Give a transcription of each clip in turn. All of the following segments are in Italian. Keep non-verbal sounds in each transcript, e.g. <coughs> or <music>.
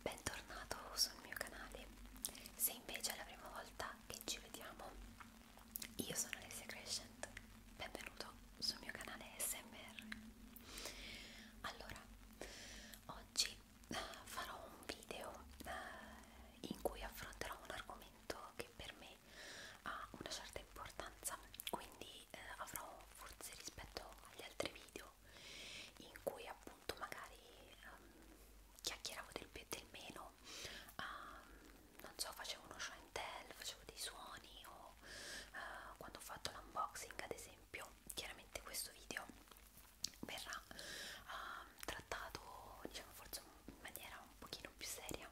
bentornato sul mio canale. Se invece è la prima volta che ci vediamo, io sono Alessia Crescent, benvenuto sul mio canale SMR. Allora, oggi eh, farò un video eh, in cui affronterò un argomento che per me ha una certa importanza, quindi eh, avrò forse rispetto agli altri video video in cui appunto magari um, chiacchieravo del più e del meno, um, non so, facevo uno show and tell, facevo dei suoni o uh, quando ho fatto l'unboxing ad esempio, chiaramente questo video verrà uh, trattato diciamo forse in maniera un pochino più seria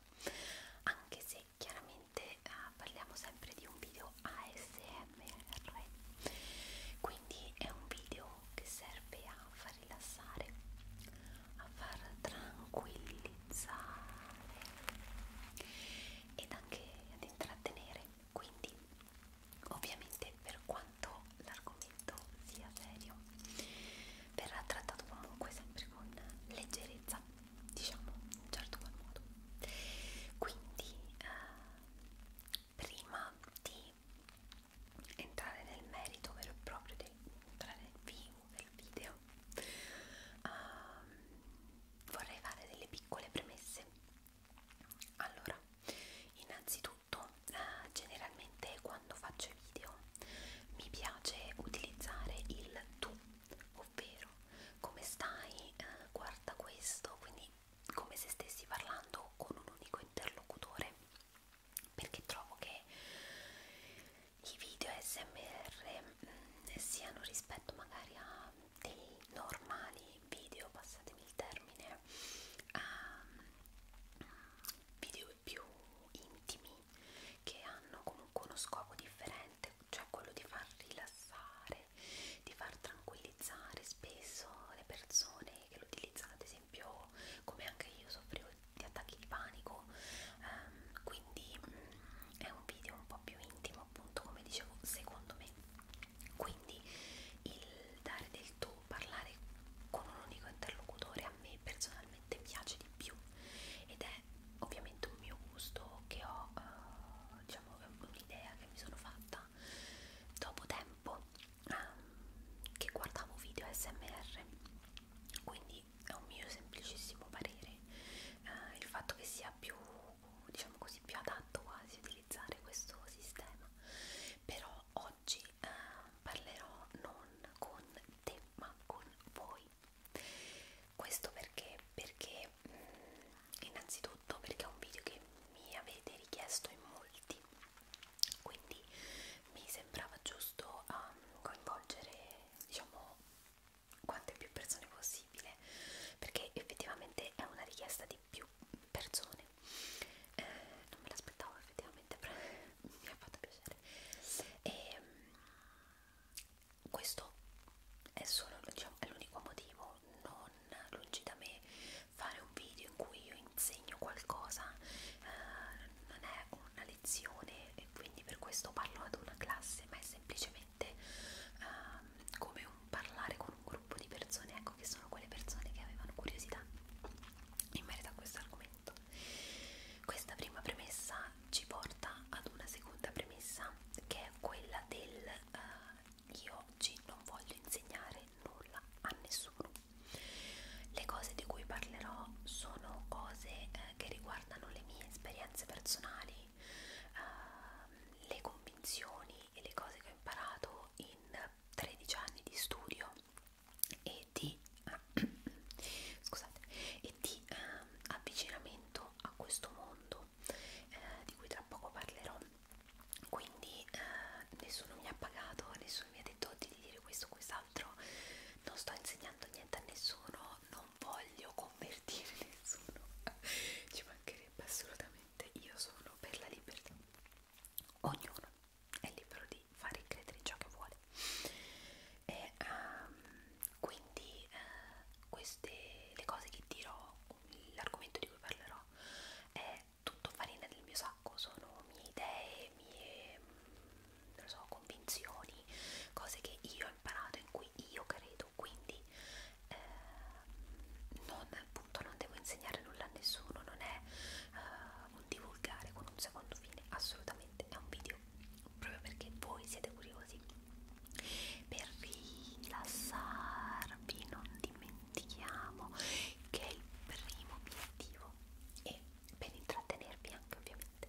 anche se chiaramente uh, parliamo sempre di un video ASMR ASMR quindi è un video che serve a far rilassare a far tranquillizzare ed anche ad intrattenere quindi ovviamente per quanto l'argomento sia serio verrà trattato comunque sempre con leggerezza diciamo in un certo qual modo quindi eh, prima di entrare nel merito vero e proprio del, nel vivo del video uh, vorrei fare delle piccole premesse allora innanzitutto uh, generalmente quando faccio i video mi piace utilizzare il tu ovvero come stai uh, guarda questo quindi come se stessi parlando con un unico interlocutore perché trovo che i video smr mh, mm, siano rispetto magari a dei normali video passatemi il termine a mm, video più intimi che hanno comunque uno scopo differente cioè quello di far rilassare di far tranquillizzare spesso le persone che lo utilizzano, ad esempio come anche io soffrivo di attacchi di panico, ehm, quindi mh, mm, è un video un po' più intimo appunto come dicevo secondo me, quindi il dare del tuo, parlare con un unico interlocutore a me personalmente piace di più ed è ovviamente un mio gusto che ho, eh, diciamo un'idea che mi sono fatta realtà dopo tempo eh, che guardavo video smr quindi è un mio semplicissimo parere eh, il fatto che sia più diciamo così più adatto quasi utilizzare questo sistema però oggi eh, parlerò non con te ma con voi questo perché perché mh, mm, innanzitutto tutto perché è un video che mi avete richiesto in molti quindi mi sembrava giusto um, coinvolgere diciamo quante più persone possibile perché effettivamente è una richiesta di più persone eh, non me l'aspettavo effettivamente però <laughs> mi ha fatto piacere e ehm, questo è solo diciamo, l'unico motivo non lungi da me fare un video in cui io insegno qualcosa eh, non è una lezione e quindi per questo parlo ad una classe ma è semplicemente eh, come un parlare con un gruppo di persone ecco che sono quelle persone che avevano curiosità in merito a questo argomento questa prima premessa ci porta ad una seconda premessa che è quella del eh, io oggi non voglio insegnare nulla a nessuno. Le cose di cui parlerò sono cose eh, che riguardano le mie esperienze personali, eh, le convinzioni e le cose che ho imparato in 13 anni di studio e di, eh, <coughs> scusate, e di eh, avvicinamento a questo mondo eh, di cui tra poco parlerò quindi eh, nessuno mi ha pagato, nessuno mi ha detto di dire questo o quest'altro, non sto insegnando niente a nessuno, non voglio convertire <laughs> nessuno, ci mancherebbe assolutamente, io sono per la libertà, ognuno è libero di fare e credere ciò che vuole. E um, quindi uh, queste le cose che dirò, l'argomento di cui parlerò è tutto farina del mio sacco, sono mie idee, mie mm, non so, convinzioni, cose che io ho imparato, in cui io credo, quindi eh, non, appunto, non devo insegnare nulla a nessuno, non è eh, un divulgare con un secondo fine, assolutamente, è un video proprio perché voi siete curiosi per rilassarvi, non dimenticate dimentichiamo che il primo obiettivo è per intrattenervi anche ovviamente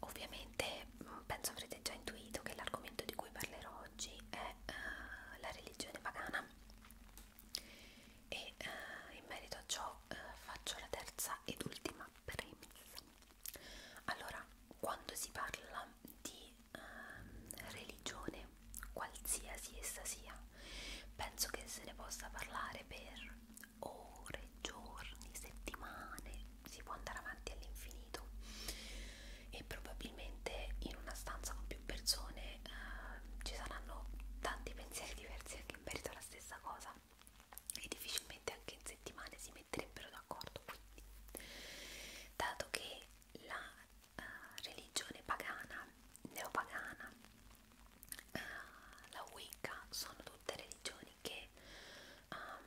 ovviamente mm, penso avrete già intuito che l'argomento di cui parlerò oggi è uh, la religione pagana e uh, in merito a ciò uh, faccio la terza ed ultima premessa allora quando si parla di eh, religione, qualsiasi essa sia, penso che se ne possa parlare per ore, giorni, settimane, si può andare avanti all'infinito e probabilmente in una stanza con più persone eh, ci saranno tanti pensieri diversi anche in merito alla stessa cosa e difficilmente anche in settimane si metterebbero d'accordo quindi dato che la eh, religione pagana, neopagana, eh, la Wicca, sono tutte religioni che um,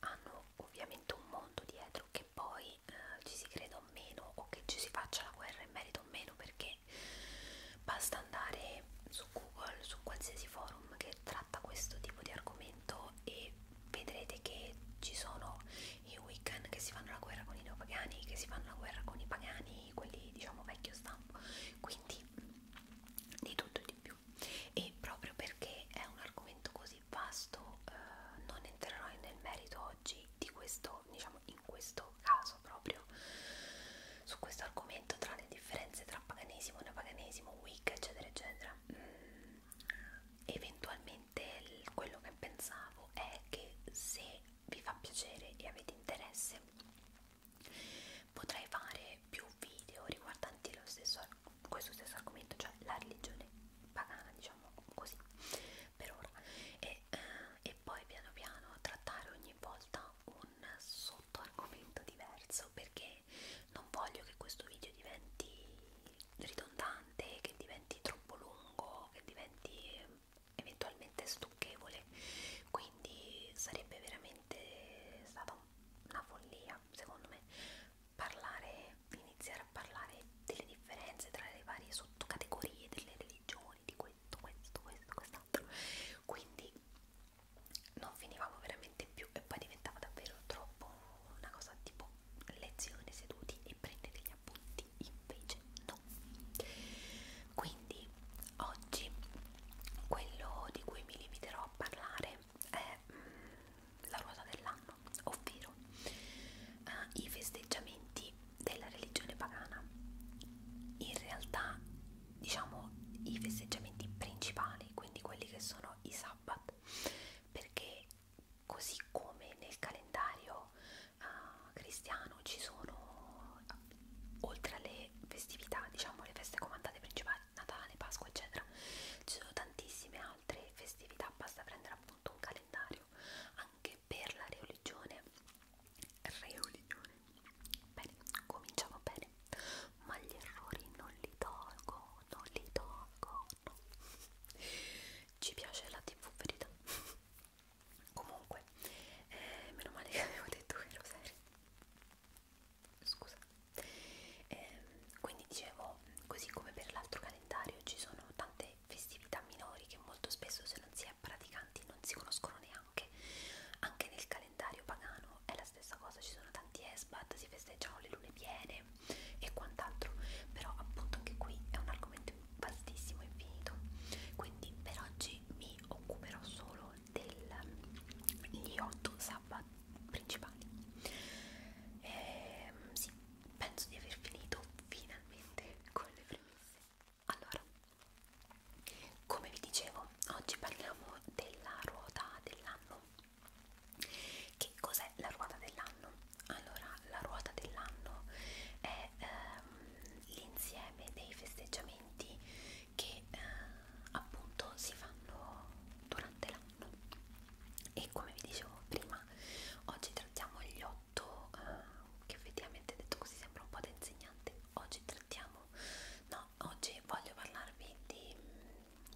hanno ovviamente un mondo dietro che poi eh, ci si creda o meno o che ci si faccia la guerra in merito o meno perché basta andare su Google, su qualsiasi forum che tratta questo tipo di argomento e vedrete che ci sono i Wiccan che si fanno la guerra con i neopagani, che si fanno la guerra con i pagani, quelli diciamo vecchio stampo, quindi di tutto e di più. E proprio perché è un argomento così vasto, eh, non entrerò nel merito oggi di questo, diciamo in questo caso proprio su questo argomento tra le differenze tra paganesimo, neopaganesimo, Wicca, eccetera, eccetera. Mm, eventualmente del, quello che pensavo è che se vi fa piacere e avete interesse potrei fare più video riguardanti lo stesso, questo stesso argomento, cioè la religione pagana, diciamo così, per ora. E, eh, e poi piano piano trattare ogni volta un sottoargomento diverso perché non voglio che questo video diventi ridondante, che diventi troppo lungo, che diventi eventualmente stucchevole, quindi sarebbe veramente stata una follia, secondo me, parlare, iniziare a parlare delle differenze tra le varie sottocategorie delle religioni, di questo, questo, questo, quest'altro. Quindi non finivamo veramente più e poi diventava davvero troppo una cosa tipo lezione seduti e prende degli appunti invece no quindi oggi quello di cui mi limiterò a parlare è mm, la ruota dell'anno ovvero eh, i festeggiamenti della religione pagana in realtà diciamo i festeggiamenti principali quindi quelli che sono i sabbat perché così come nel calendario uh, cristiano ci sono oltre alle festività diciamo le feste comandate principali Natale, Pasqua eccetera ci sono tantissime altre festività basta prendere appunto un calendario anche per la religione religione bene cominciamo bene ma gli errori non li tolgo non li tolgo inverno ci piace la tv verità <laughs> comunque eh, meno male che avevo detto che ero serio scusa eh, quindi dicevo così come per l'altro calendario ci sono tante festività minori che molto spesso se non si è praticanti non si conoscono neanche anche nel calendario pagano è la stessa cosa ci sono tanti esbat si festeggiano le lune piene e quant'altro però appunto anche qui è un argomento vastissimo e infinito quindi per oggi mi occuperò solo degli 8 sabbat principali e, ehm, sì penso di aver finito finalmente con le premesse allora come vi dicevo oggi parliamo della ruota dell'anno che cos'è la ruota dell'anno? Allora, la ruota dell'anno è ehm, l'insieme dei festeggiamenti che eh, appunto si fanno durante l'anno e come vi dicevo prima oggi trattiamo gli otto eh, che effettivamente detto così sembra un po' da insegnante oggi trattiamo no oggi voglio parlarvi di,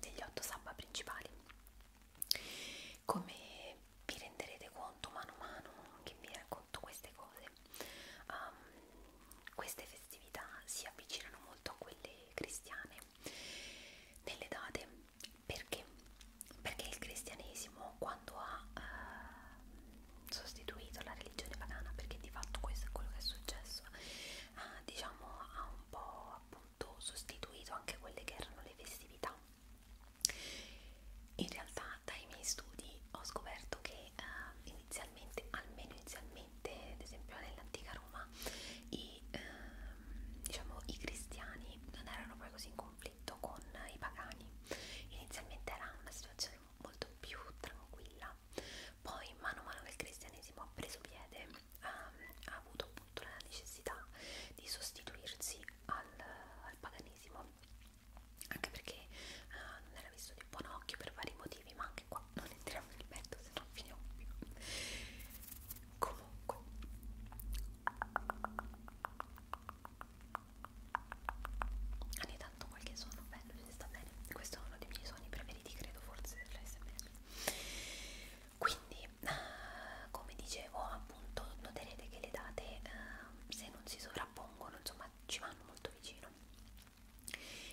degli otto sabba principali come vi renderete conto mano a mano che vi racconto queste cose um, queste festività si avvicinano molto a quelle cristiane nelle date perché perché il cristianesimo quando ha uh, sostituito la religione pagana perché di fatto questo è quello che è successo uh, diciamo ha un po' appunto sostituito anche quelle che erano le festività in realtà dai miei studi ho scoperto che eh, inizialmente, almeno inizialmente, ad esempio nell'antica Roma, i, eh, diciamo, i cristiani non erano poi così in conflitto con i pagani. Inizialmente era una situazione molto più tranquilla. Poi mano a mano che il cristianesimo ha preso piede, eh, ha avuto appunto la necessità di sostituirsi al, al paganesimo anche perché uh, non era visto di buon occhio per vari motivi ma anche qua non entriamo nel merito se no finiamo più comunque ogni tanto qualche suono bello ci sta bene questo è uno dei miei suoni preferiti credo forse dell'ASMR quindi Ah, come dicevo appunto noterete che le date eh, se non si sovrappongono insomma ci vanno molto vicino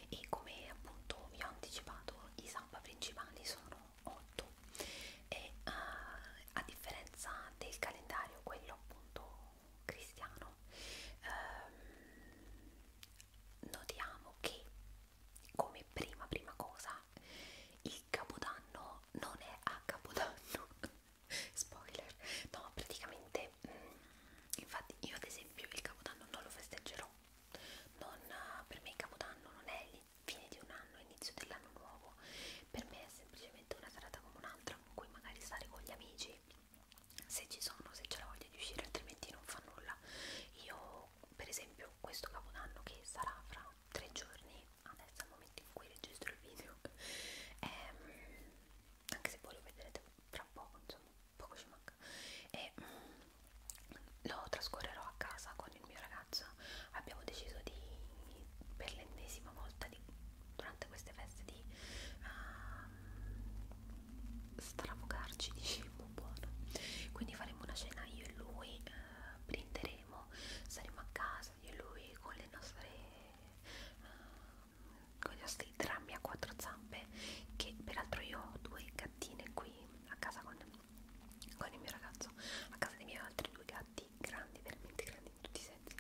e come appunto vi ho anticipato i samba principali sono 8 e uh, a differenza del calendario quello appunto cristiano ehm, notiamo che come prima prima cosa il capodanno no, non è a capodanno <laughs> spoiler no, praticamente mh, mm, infatti io ad esempio il capodanno non lo festeggerò non, eh, per me il capodanno non è il fine di un anno, inizio dell'anno nuovo per me è semplicemente una serata come un'altra con cui magari stare con gli amici se ci sono, se c'è la voglia di uscire altrimenti non fa nulla io per esempio questo capodanno che sarà fra tre giorni adesso al momento in cui registro il video ehm, anche se voi lo vedrete tra poco insomma poco ci manca e ehm, mh, lo trascorrerò a casa con il mio ragazzo abbiamo deciso di per l'ennesima volta di, durante queste feste di uh, ehm, stravogarci di cibo buono quindi faremo una cena io e lui uh, eh, prenderemo saremo a casa casa di lui con le nostre uh, con i nostri drammi a quattro zampe che peraltro io ho due gattine qui a casa con, con il mio ragazzo a casa dei miei altri due gatti grandi veramente grandi in tutti i sensi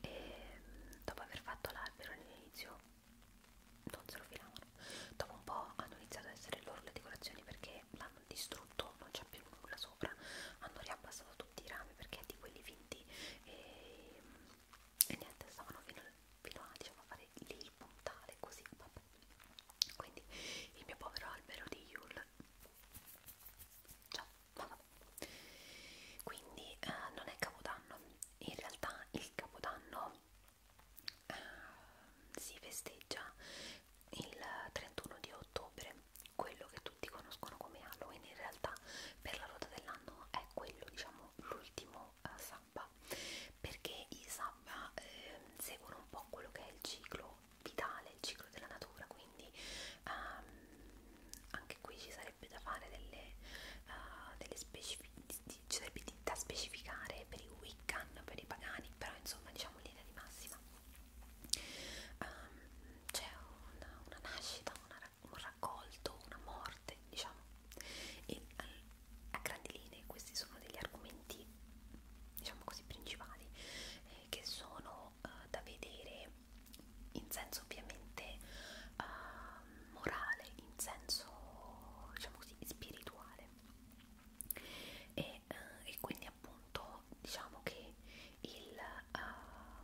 e dopo aver fatto l'albero all'inizio non se lo filavano dopo un po' hanno iniziato ad essere loro le decorazioni perché l'hanno distrutto vuoto, non c'è più nulla sopra, hanno riabbassato tutti i rami perché è di quelli finti e, ehm, e niente, stavano fino, fino a, diciamo, a fare lì il puntale, così, vabbè. Quindi il mio povero albero di Yule. Ciao, vabbè. Quindi eh, non è Capodanno, in realtà il Capodanno eh, si festeggia il 31 di ottobre quello che tutti conoscono come Halloween in realtà per la ruota dell'anno è quello diciamo l'ultimo eh, sabba perché i sabba eh, seguono un po' quello che è il ciclo vitale, il ciclo della natura quindi ehm, anche qui ci sarebbe da fare delle, uh, delle specific ci sarebbe da specificare per i Wiccan, per i pagani però insomma diciamo linea di massima um, c'è una, una nascita, una, un raccolto, una morte, diciamo, e eh, a grandi linee questi sono degli argomenti, diciamo così, principali eh, che sono eh, da vedere in senso ovviamente eh, morale, in senso, diciamo così, spirituale. E, eh, e quindi appunto diciamo che il, uh,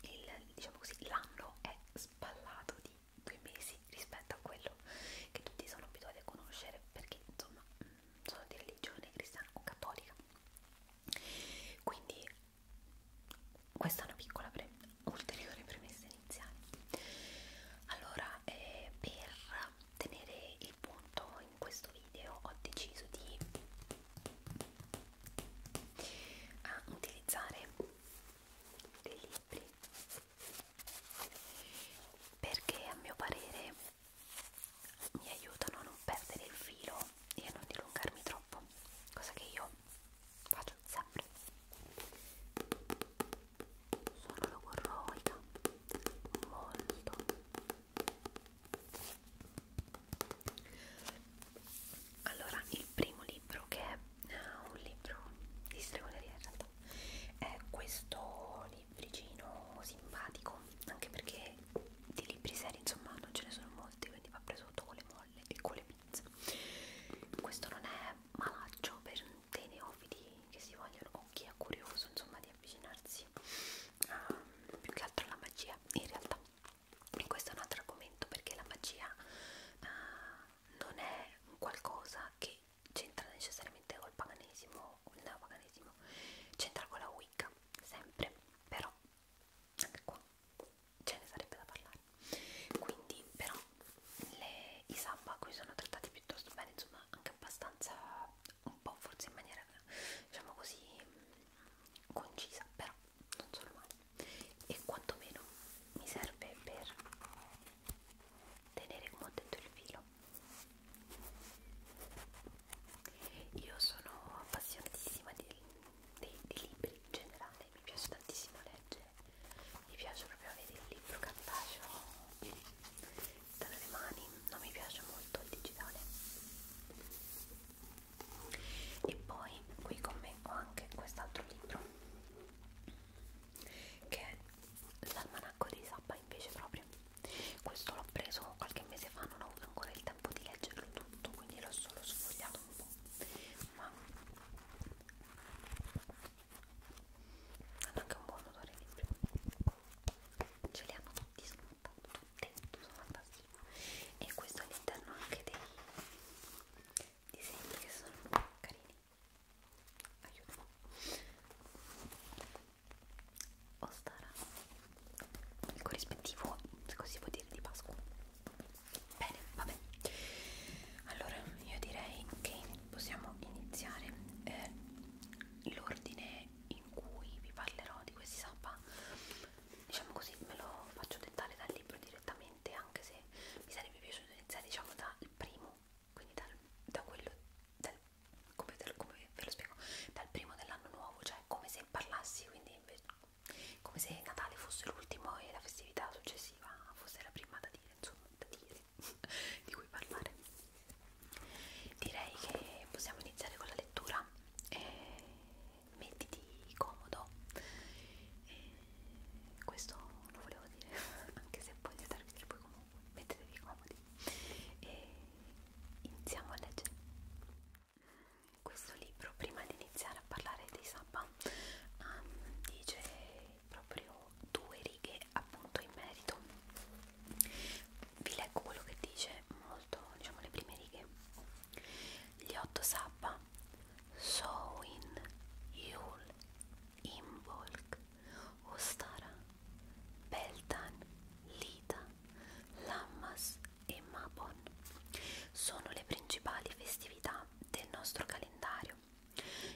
il diciamo così l'anno è spallato di due mesi rispetto a quello che tutti sono abituati a conoscere perché insomma mm, sono di religione cristiana o cattolica quindi questa è una piccola pre ulteriore premessa iniziale allora eh, per tenere il punto in questo video ho deciso di uh, utilizzare dei libri perché a mio parere mi aiutano a non perdere il filo e a non dilungarmi troppo, cosa che io faccio sempre. Sono logorroica, molto allora, il primo libro che è uh, un libro di stregoneria in realtà è questo libricino simpatico, anche perché di libri seri insomma non ce ne sono molti, quindi va preso tutto con le molle e con le pizze. Questo non è malaccio per dei neofiti che si vogliono o chi è curioso insomma di avvicinarsi a, più che altro alla magia in realtà e questo è un altro argomento perché la magia uh, non è qualcosa che c'entra necessariamente col paganesimo o il neopaganesimo c'entra con la Wicca sempre però anche qua ce ne sarebbe da parlare quindi però le, i sabba qui sono trattati piuttosto bene insomma anche abbastanza un po' forse in maniera diciamo così concisa, però non sono male e quantomeno mi serve per tenere come ho detto il filo. Io sono appassionatissima di, di, di libri in generale, mi piace tantissimo leggere, mi piace proprio avere il libro cartaceo tra le mani, non mi piace molto il digitale e poi qui con me ho anche quest'altro libro che è l'almanacco di Sappa invece proprio questo l'ho preso qualche mese fa non ho avuto ancora il tempo di leggerlo tutto quindi l'ho solo sfogliato un po' ma hanno anche un buon odore di libro ce li hanno tutti, sono appunto dentro, sono fantastico e questo all'interno anche dei disegni che sono carini aiuto Ostara il corrispettivo, se così vuol dire, di Pasqua bene, vabbè allora io direi che possiamo iniziare eh, l'ordine in cui vi parlerò di questi sappa diciamo così me lo faccio dettare dal libro direttamente anche se mi sarebbe piaciuto iniziare diciamo dal primo quindi dal, da quello dal, come, del, come ve lo spiego dal primo dell'anno nuovo cioè come se parlassi quindi come se Natale fosse l'ultimo e la festività successiva fosse la prima da dire insomma da dire <laughs> di cui parlare direi che possiamo iniziare con la lettura e eh, mettiti comodo e questo lo volevo dire <laughs> anche se poi si servite poi comunque mettetevi comodi e iniziamo a leggere questo libro prima di iniziare a parlare di Sapa um, dice proprio due righe appunto in merito vi leggo quello che dice molto, diciamo le prime righe. Gli otto sabba, Sowin, Yul, Imbolk, Ostara, Beltan, Lita, Lammas e Mabon sono le principali festività del nostro calendario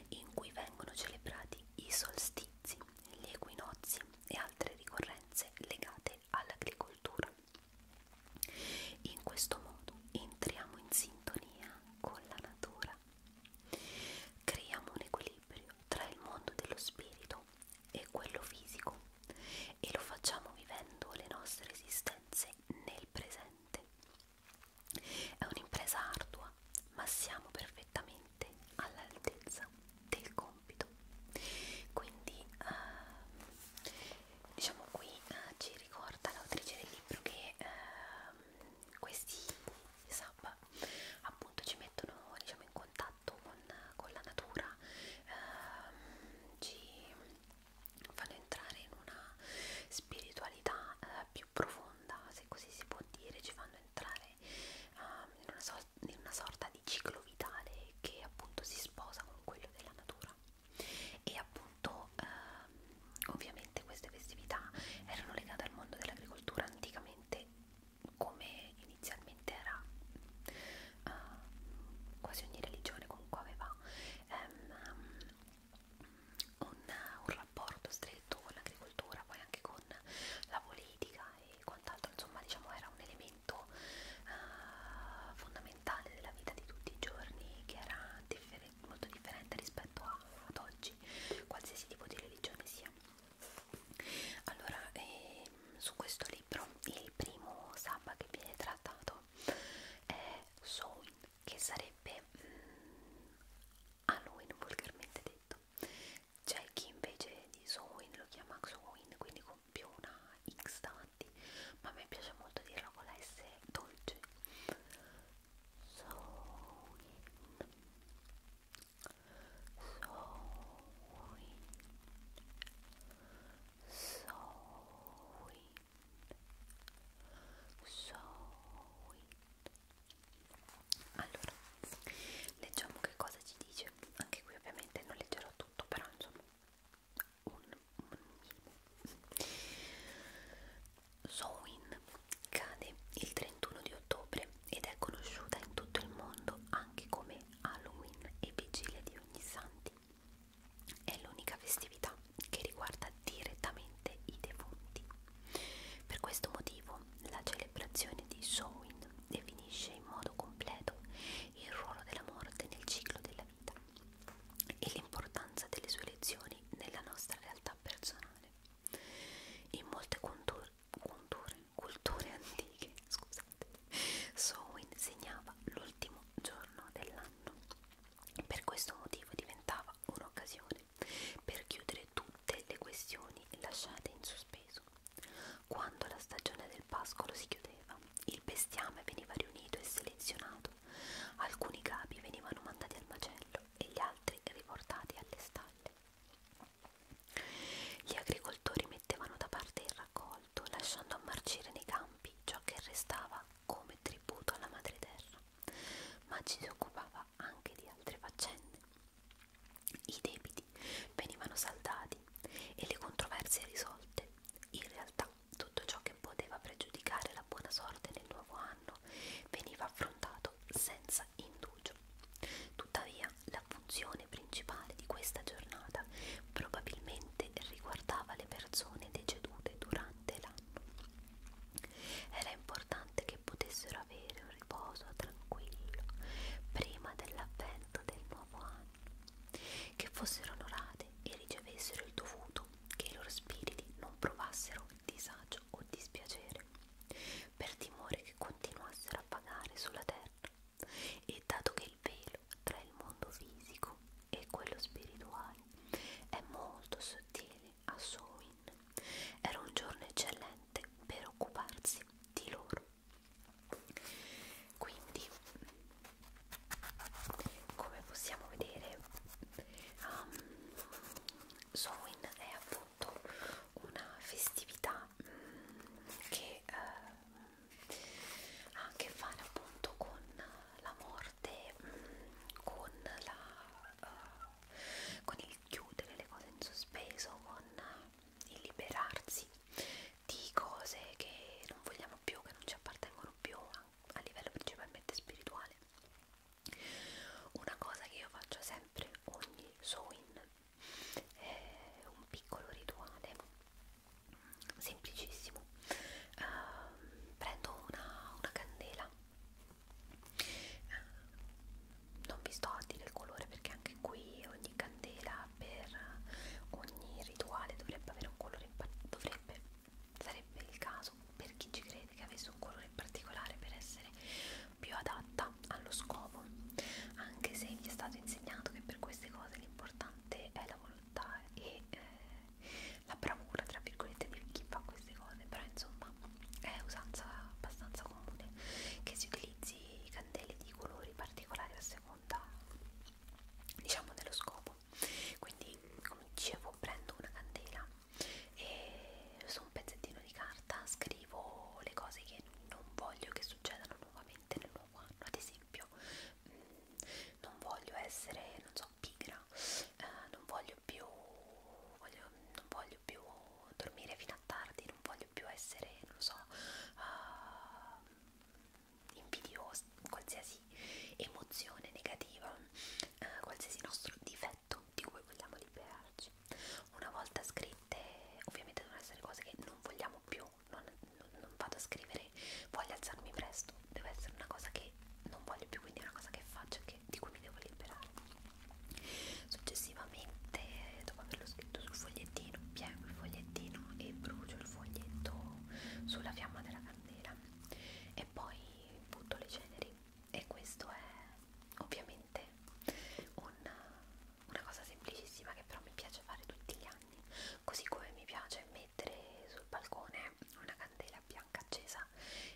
in cui vengono celebrati i solstizi, gli equinozi e altre ricorrenze legate all'agricoltura. In questo modo entriamo in sintonia con la natura, creiamo un equilibrio tra il mondo dello spirito e quello fisico e lo facciamo vivendo le nostre esistenze nel presente. È un'impresa ardua, ma siamo perfettamente all'altezza del compito compito quindi eh, diciamo qui eh, ci ricorda l'autrice del libro che eh, questi sub appunto ci mettono diciamo in contatto con, con la natura eh, ci fanno entrare in una spiritualità eh, più profonda se così si può dire ci fanno entrare eh, in, una so in una sorta di ciclo vitale che appunto si sposa con quello della natura e appunto ehm, ovviamente queste festività erano legate al mondo dell'agricoltura anticamente come inizialmente era eh, quasi ogni religione comunque aveva ehm, un, un rapporto stretto con l'agricoltura poi anche con la politica e quant'altro insomma diciamo era un elemento elemento uh, eh, fondamentale della vita di tutti i giorni che era differen molto differente rispetto a, ad oggi, qualsiasi tipo di religione sia. Allora, eh, su questo libro il primo sabba che viene trattato è Soin, che sarebbe mm, Halloween vulgarmente detto. C'è chi invece di Soin lo chiama Soin, quindi con più una X davanti, ma a me piace molto dirla con la S dolce. So in, so in, so in, so in. Allora, leggiamo che cosa ci dice. Anche qui ovviamente non leggerò tutto, però insomma un, un minimo. Sowin cade il 31 di ottobre ed è conosciuta in tutto il mondo anche come Halloween e Vigilia di ogni Santi. È l'unica festività che riguarda direttamente i defunti. Per questo motivo la celebrazione di Sowin definisce in modo completo il ruolo della morte nel ciclo della vita e l'importanza delle sue lezioni nella nostra realtà personale. In molte culture, culture, culture antiche, <laughs> scusate, Sowin segnava l'ultimo giorno dell'anno. Per questo motivo diventava un'occasione per chiudere tutte le questioni lasciate in sospeso. Quando la stagione del pascolo si chiudeva, il bestiame veniva riunito e selezionato. Alcuni capi venivano mandati al macello e gli altri riportati alle stalle. Gli agricoltori mettevano da parte il raccolto, lasciando a marcire nei campi ciò che restava come tributo alla madre terra, ma ci si occupava anche di altre faccende. I debiti venivano saldati e le controversie risolte in realtà tutto ciò che poteva pregiudicare la buona sorte nel nuovo anno veniva affrontato senza indugio. Tuttavia la funzione principale di questa giornata probabilmente riguardava le persone decedute durante l'anno. Era importante che potessero avere un riposo tranquillo prima dell'avvento del nuovo anno che fossero onorate e ricevessero il dovuto, che i loro spiriti non provassero disagio o dispiacere, per timore che continuassero a vagare sulla terra, e dato che il velo tra il mondo fisico e quello spirituale è molto sottile a Sowin, era un giorno eccellente per occuparsi di loro quindi come possiamo vedere um, Sowin è appunto una festività um, che uh, ha a che fare appunto con la morte um, con la uh, con il chiudere le cose in sospeso con il liberarsi di cose che non vogliamo apparteniamo più, che non ci appartengono più a, a livello principalmente spirituale. Una cosa che io faccio sempre ogni Soin è un piccolo rituale semplicissimo. Uh, prendo una, una candela, uh, non vi sto a dire il colore perché anche qui ogni candela vela per ogni rituale dovrebbe avere un colore dovrebbe sarebbe il caso per chi ci crede che avesse un colore in particolare per essere più adatta allo scopo anche se vi è stato insegnato che per queste cose l'importante è la volontà e eh, la bravura tra virgolette di chi fa queste cose però insomma è usanza abbastanza comune che si utilizzi candele di colori particolari a seconda diciamo dello scopo dopo quindi come dicevo prendo una candela e su un pezzettino di carta scrivo le cose che non voglio che succedano nuovamente nel nuovo anno ad esempio mh, mm, non voglio essere non so pigra eh, non voglio più voglio, non voglio più dormire fino a tardi non voglio più essere non so uh, invidiosi, qualsiasi emozione negativa, eh, qualsiasi nostro difetto di cui vogliamo liberarci. Una volta scritte, ovviamente devono essere cose che non vogliamo più, non, non, non vado a scrivere voglio alzarmi presto, deve essere una cosa che non voglio più, quindi è una cosa che faccio e di cui mi devo liberare. Successivamente, dopo averlo scritto sul fogliettino, piego il fogliettino e brucio il foglietto sulla fiamma della candela e poi butto le ceneri e questo è ovviamente un, una cosa semplicissima che però mi piace fare tutti gli anni così come mi piace mettere sul balcone una candela bianca accesa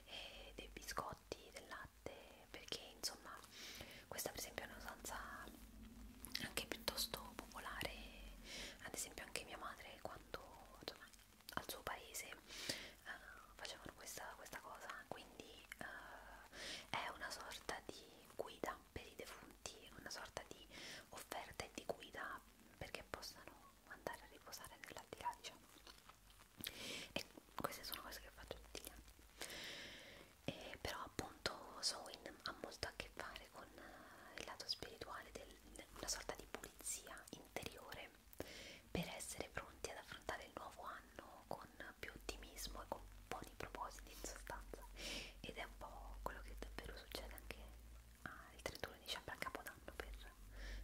e dei biscotti, del latte perché insomma questa per esempio è un'usanza anche piuttosto popolare ad esempio anche mia madre quando insomma, al suo paese uh, facevano questa, questa cosa quindi uh, è una sorta di guida per i defunti una sorta di offerta e di guida perché possano andare a riposare nell'aldilà diciamo e queste sono cose che faccio tutti gli anni e eh, però appunto Sowin ha molto a che fare con il lato spirituale del, una sorta di pulizia interiore per essere pronti ad affrontare il nuovo anno con più ottimismo e con buoni propositi in sostanza ed è un po' quello che davvero succede anche al 31 dicembre a Capodanno per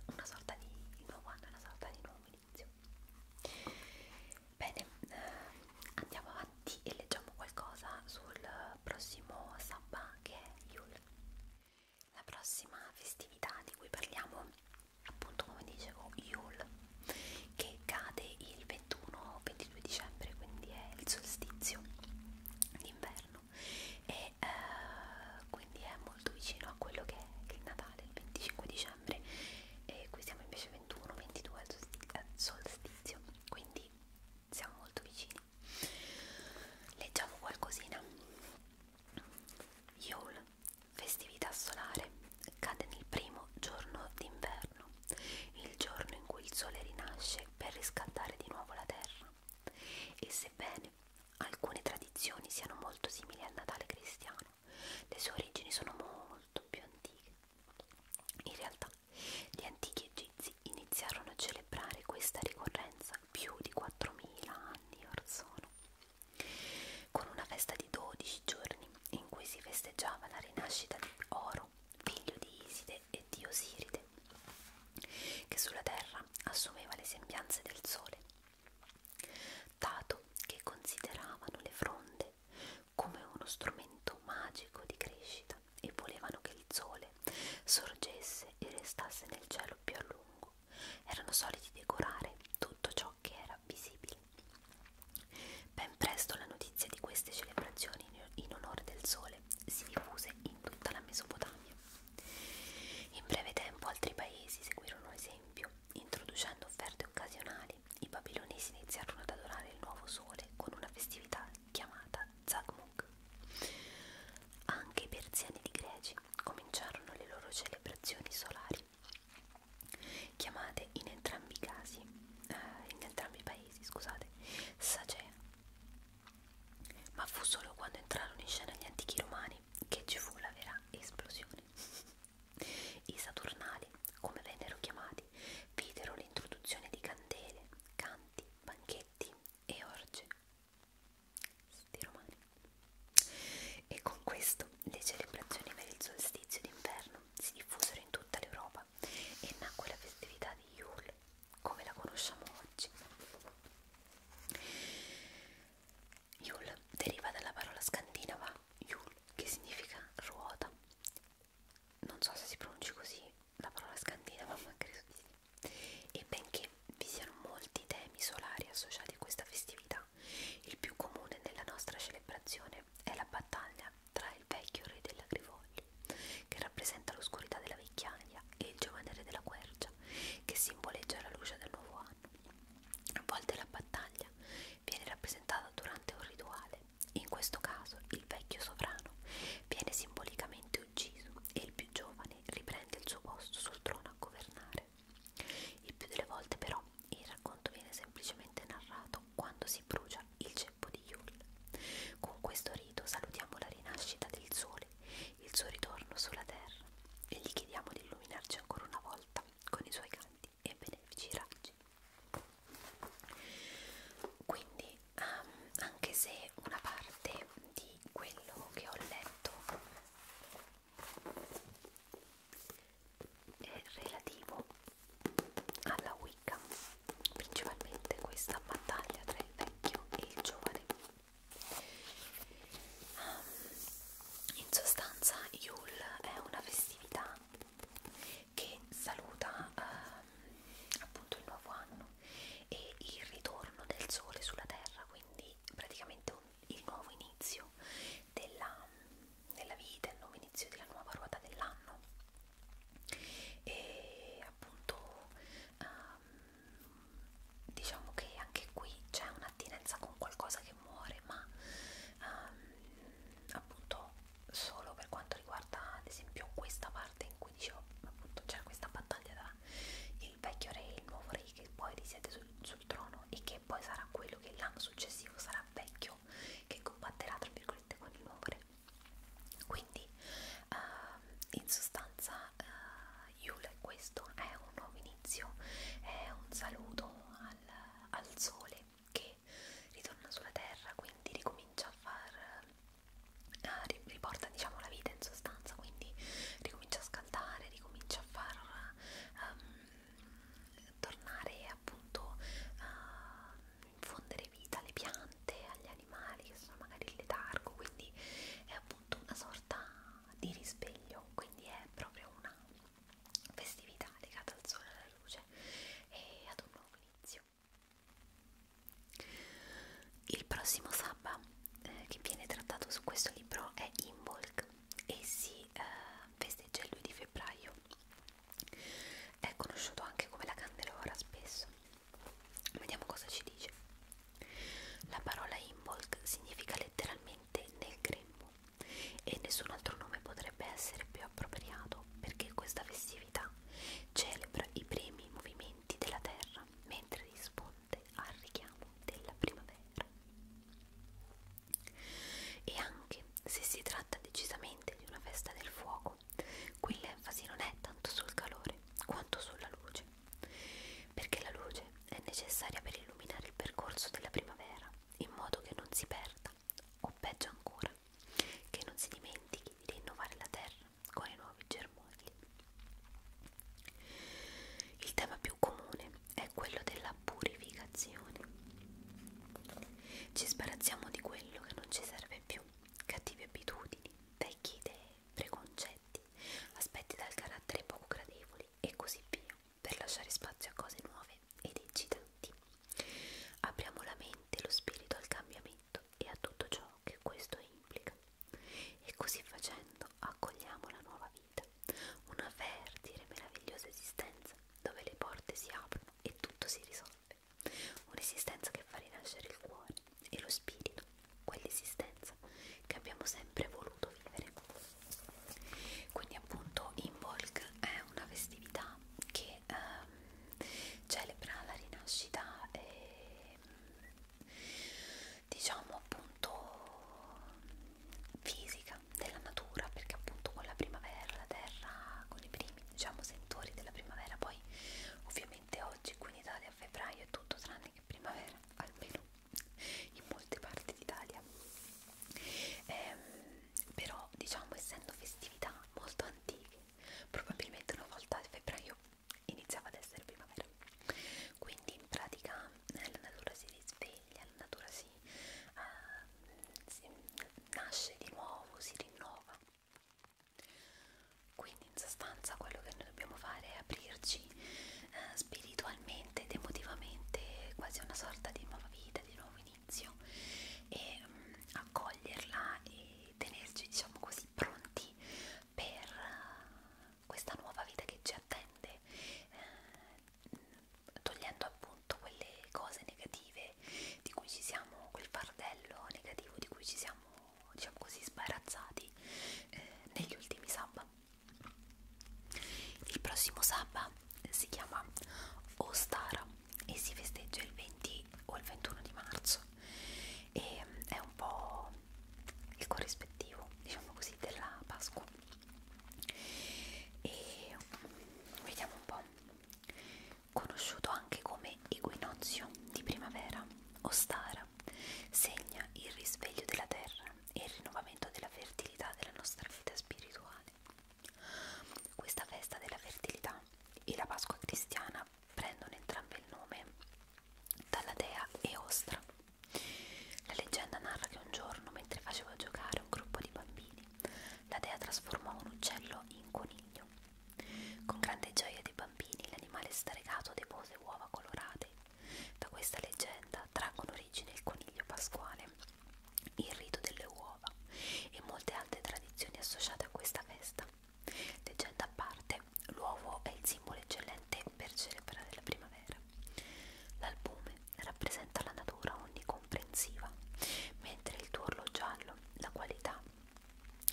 una sorta di il nuovo anno, una sorta di nuovo inizio bene, ehm, andiamo avanti e leggiamo qualcosa sul prossimo sabba che è Yule. La prossima festività di cui parliamo, appunto come dicevo, Yule, che cade il 21-22 dicembre, quindi è il solstizio d'inverno e eh, quindi è molto vicino a quello che è il Natale, il 25 dicembre e qui siamo invece 21-22 al solstizio, quindi siamo molto vicini Leggiamo qualcosina. Yule, festività solare, cade nel primo giorno d'inverno, il giorno in cui il sole rinasce per riscaldare di nuovo la terra. E sebbene alcune tradizioni siano molto simili al Natale cristiano, le sue origini sono molto più antiche. In realtà, gli antichi egizi inglesi iniziarono a celebrare questa ricorrenza più di 4.000 anni or sono, con una festa di 12 giorni in cui si festeggiava la rinascita di Oro, figlio di Iside e di Osiride, che sulla terra assumeva le sembianze del sole, dato che consideravano le fronde come uno strumento magico di crescita e volevano che il sole sorgesse e restasse nel cielo più a lungo. Erano soliti decorare tutto ciò che era visibile. Ben presto la notizia di queste celebrazioni in onore del sole si diffuse in tutta la Mesopotamia. In breve tempo altri paesi seguirono l'esempio, introducendo offerte occasionali. I babilonesi iniziarono ad adorare il nuovo sole con una festività chiamata Zagmuk. Anche i persiani di Greci cominciarono le loro celebrazioni solari, chiamate in entrambi i casi, eh, in entrambi i paesi, scusate, Sagea. Ma fu solo quando entrarono in scena gli antichi romani che ci fu la vera esplosione. I Saturnali, come vennero chiamati, videro l'introduzione di candele, canti, banchetti e Orge di Romani. E con questo le celebrazioni per il solstizio d'inverno si diffusero in tutta l'Europa e nacque la festività di Yule come la conosciamo oggi. Yule deriva dalla parola scandinava Yule che significa ruota. Non so se si pronunci così la parola scandinava, credo di sì. E benché vi siano molti temi solari associati a questa festività, il più comune nella nostra celebrazione è la battaglia tra il vecchio re dell'agrivoglio, che rappresenta l'oscurità della vecchiaia, e il giovane re della quercia, che simboleggia la luce del nuovo anno. A volte la battaglia viene rappresentata durante un rituale, in questo caso il vecchio sovrano viene simbolicamente finalmente ucciso e il più giovane riprende il suo posto sul trono a governare. Il più delle volte però il racconto viene semplicemente narrato quando si brucia il ceppo di Yule. Con questo rito salutiamo la rinascita del sole, il suo ritorno sulla terra e gli chiediamo di illuminarci ancora una volta con i suoi canti e benefici raggi. Quindi um, anche se una parte di quello che ho letto è relativo alla Wicca, principalmente questa battaglia tra il vecchio e il giovane. Um, in sostanza, Yule è una festività che saluta um, appunto il nuovo anno e il ritorno del sole sulla terra, quindi praticamente un, il nuovo inizio della, della vita, il nuovo inizio della nuova ruota dell'anno e appunto um, diciamo che anche qui c'è un'attinenza con qualcosa che muore ma um, appunto solo per quanto riguarda ad esempio questa parte parte in cui dicevo appunto c'è questa battaglia tra il vecchio re e il nuovo re che poi risiede sul, sul trono e che poi sarà quello che l'anno successivo sarà vecchio che combatterà tra virgolette con il nuovo re quindi uh, in sostanza uh, Yule questo è un nuovo inizio è un saluto al, al sole che ritorna sulla terra quindi ricomincia a far eh, riporta diciamo la vita in sostanza quindi ricomincia a scaldare ricomincia a far um, tornare appunto uh, infondere vita alle piante agli animali che sono magari in letargo quindi è appunto una sorta di risveglio quindi è proprio una festività legata al sole alla luce e ad un nuovo inizio il prossimo sabba eh, che viene trattato su questo libro è Imbolc e si eh, festeggia il 2 di febbraio. È conosciuto anche come la candelora spesso. Vediamo cosa ci dice. La parola Imbolc significa letteralmente nel grembo e nessun altro nome potrebbe essere più appropriato perché questa festività celebra i primi movimenti movimenti della terra mentre risponde al richiamo della primavera. E anche se si tratta decisamente di una festa del fuoco, qui l'enfasi non è tanto sul calore quanto sulla luce, perché la luce è necessaria per illuminare il percorso della primavera in modo che non si perda, o peggio ancora, che non si dimentichi di rinnovare la terra con i nuovi germogli. Il tema più comune è quello della purificazione. Ci sbarazziamo di quello che non ci serve più, cattive abitudini, vecchie idee, preconcetti, aspetti dal carattere poco gradevoli e così via, per lasciare spazio a cose nuove ed eccitanti. Apriamo la mente e lo spirito al cambiamento e a tutto ciò che questo implica. E così facendo accogliamo la nuova vita, una fertile e meravigliosa esistenza dove le porte si aprono e tutto si risolve, un'esistenza che fa rinascere il cuore e lo spirito, quell'esistenza che abbiamo sempre voluto vivere. Quindi appunto Imbolc è una festività che ehm, celebra la rinascita e ehm, diciamo appunto fisica della natura perché appunto con la primavera la terra con i primi diciamo sentori della primavera poi ovviamente oggi qui in Italia a febbraio è tutto tranne che primavera <laughs> almeno in molte parti d'Italia ehm, però diciamo essendo festività molto antiche probabilmente una volta a febbraio iniziava ad essere primavera quindi in pratica la natura si risveglia la natura si, uh, si nasce di nuovo si rinnova quindi in sostanza quello che noi dobbiamo fare è aprirci eh, spiritualmente ed emotivamente quasi una sorta di nuova vita, di nuovo inizio e mh, mm, accoglierla e tenerci diciamo così pronti per eh, questa nuova vita che ci attende, eh, togliendo appunto quelle cose negative di cui ci siamo, quel fardello negativo di cui ci siamo, diciamo così, sbarazzati eh, negli ultimi sabba. Il prossimo sabba si chiama Ostara e si festeggia il 20 o il 21 di marzo e mm, è un po' il corrispettivo diciamo così della Pasqua e vediamo un po' conosciuto anche come equinozio di primavera o stara segna il risveglio della terra e il rinnovamento della fertilità della nostra vita spirituale questa festa della fertilità e la Pasqua cristiana prendono entrambi il nome dalla dea Eostra. La leggenda narra che un giorno, mentre faceva giocare un gruppo di bambini, la dea trasformò un uccello in coniglio. Con grande gioia dei bambini, l'animale starecato depose uova colorate. Da questa leggenda traggono origine il coniglio pasquale, il rito delle uova e molte altre tradizioni associate a questa festa. Leggenda a parte, l'uovo è il simbolo eccellente per celebrare la primavera. L'albume rappresenta la natura onnicomprensiva, mentre il tuo giallo, la qualità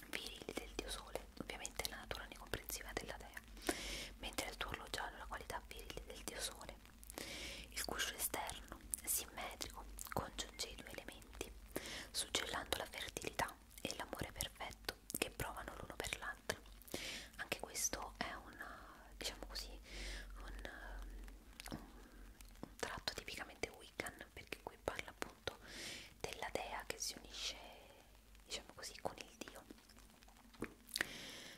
virili del dio sole, ovviamente la natura onnicomprensiva della dea, mentre il tuo giallo, la qualità virili del dio sole. Il guscio esterno, simmetrico, congiunge i due elementi, suggellando la fertilità e l'amore perfetto che provano l'uno per l'altro. Anche questo è un, diciamo così, un, un, um, un tratto tipicamente Wiccan, perché qui parla appunto della dea che si unisce, diciamo così, con il dio.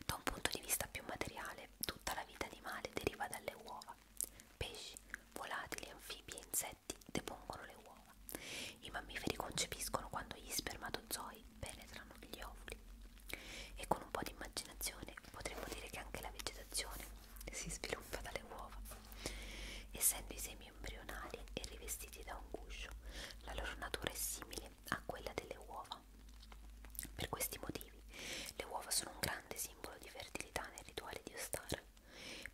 Da un punto di vista più materiale, tutta la vita animale deriva dalle uova. Pesci, volatili, anfibi e insetti depongono le uova uova. I mammiferi concepiscono quando gli spermatozoi penetrano gli ovuli. E con un po' di immaginazione potremmo dire che anche la vegetazione si sviluppa dalle uova. Essendo i semi embrionali e rivestiti da un guscio, la loro natura è simile a quella delle uova. Per questi motivi, le uova sono un grande simbolo di fertilità nel rituale di Ostara.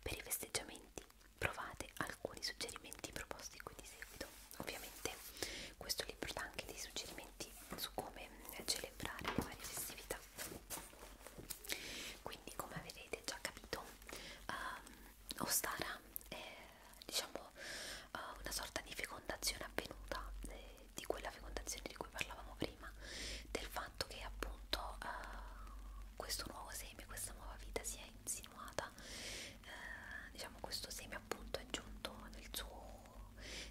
Per i festeggiamenti provate alcuni suggerimenti proposti qui di seguito ovviamente questo libro dà anche dei suggerimenti su come celebrare le varie festività quindi come avrete già capito um, Ostara è diciamo uh, una sorta di fecondazione avvenuta eh, di quella fecondazione di cui parlavamo prima del fatto che appunto uh, questo nuovo seme, questa nuova vita si è insinuata eh, diciamo questo seme appunto è giunto nel suo,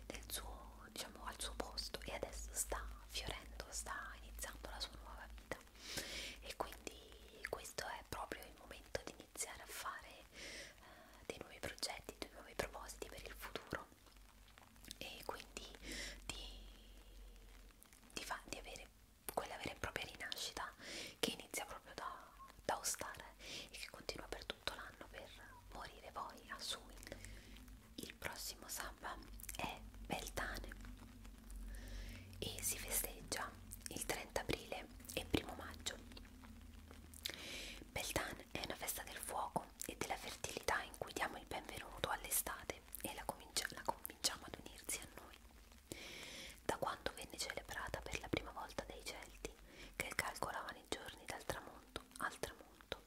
nel suo, diciamo, al suo posto e adesso sta fiorendo, sta iniziando la sua nuova vita e quindi questo è proprio il momento di iniziare a fare eh, dei nuovi progetti, dei nuovi propositi per il futuro e quindi di, di, fa, di avere quella vera e propria rinascita che inizia proprio da, da Ostare e che continua per tutto l'anno per morire voi a Suin. Il prossimo sabato è Beltane e si festeggia il 30 aprile e 1 maggio. Beltane è una festa del fuoco e della fertilità in cui diamo il benvenuto all'estate e la, comincia, la convinciamo ad unirsi a noi da quando venne celebrata per la prima volta dai Celti, che calcolavano i giorni dal tramonto al tramonto.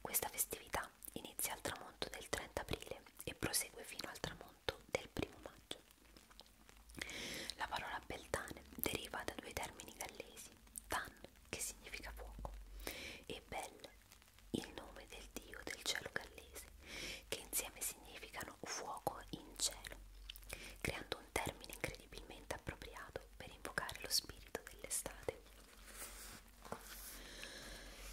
Questa festività inizia al tramonto del 30 aprile e prosegue fino al tramonto del primo maggio. La parola Beltane deriva da due termini gallesi, Tan, che significa fuoco, e Bel, il nome del dio del cielo gallese, che insieme significa chiamano fuoco in cielo, creando un termine incredibilmente appropriato per invocare lo spirito dell'estate.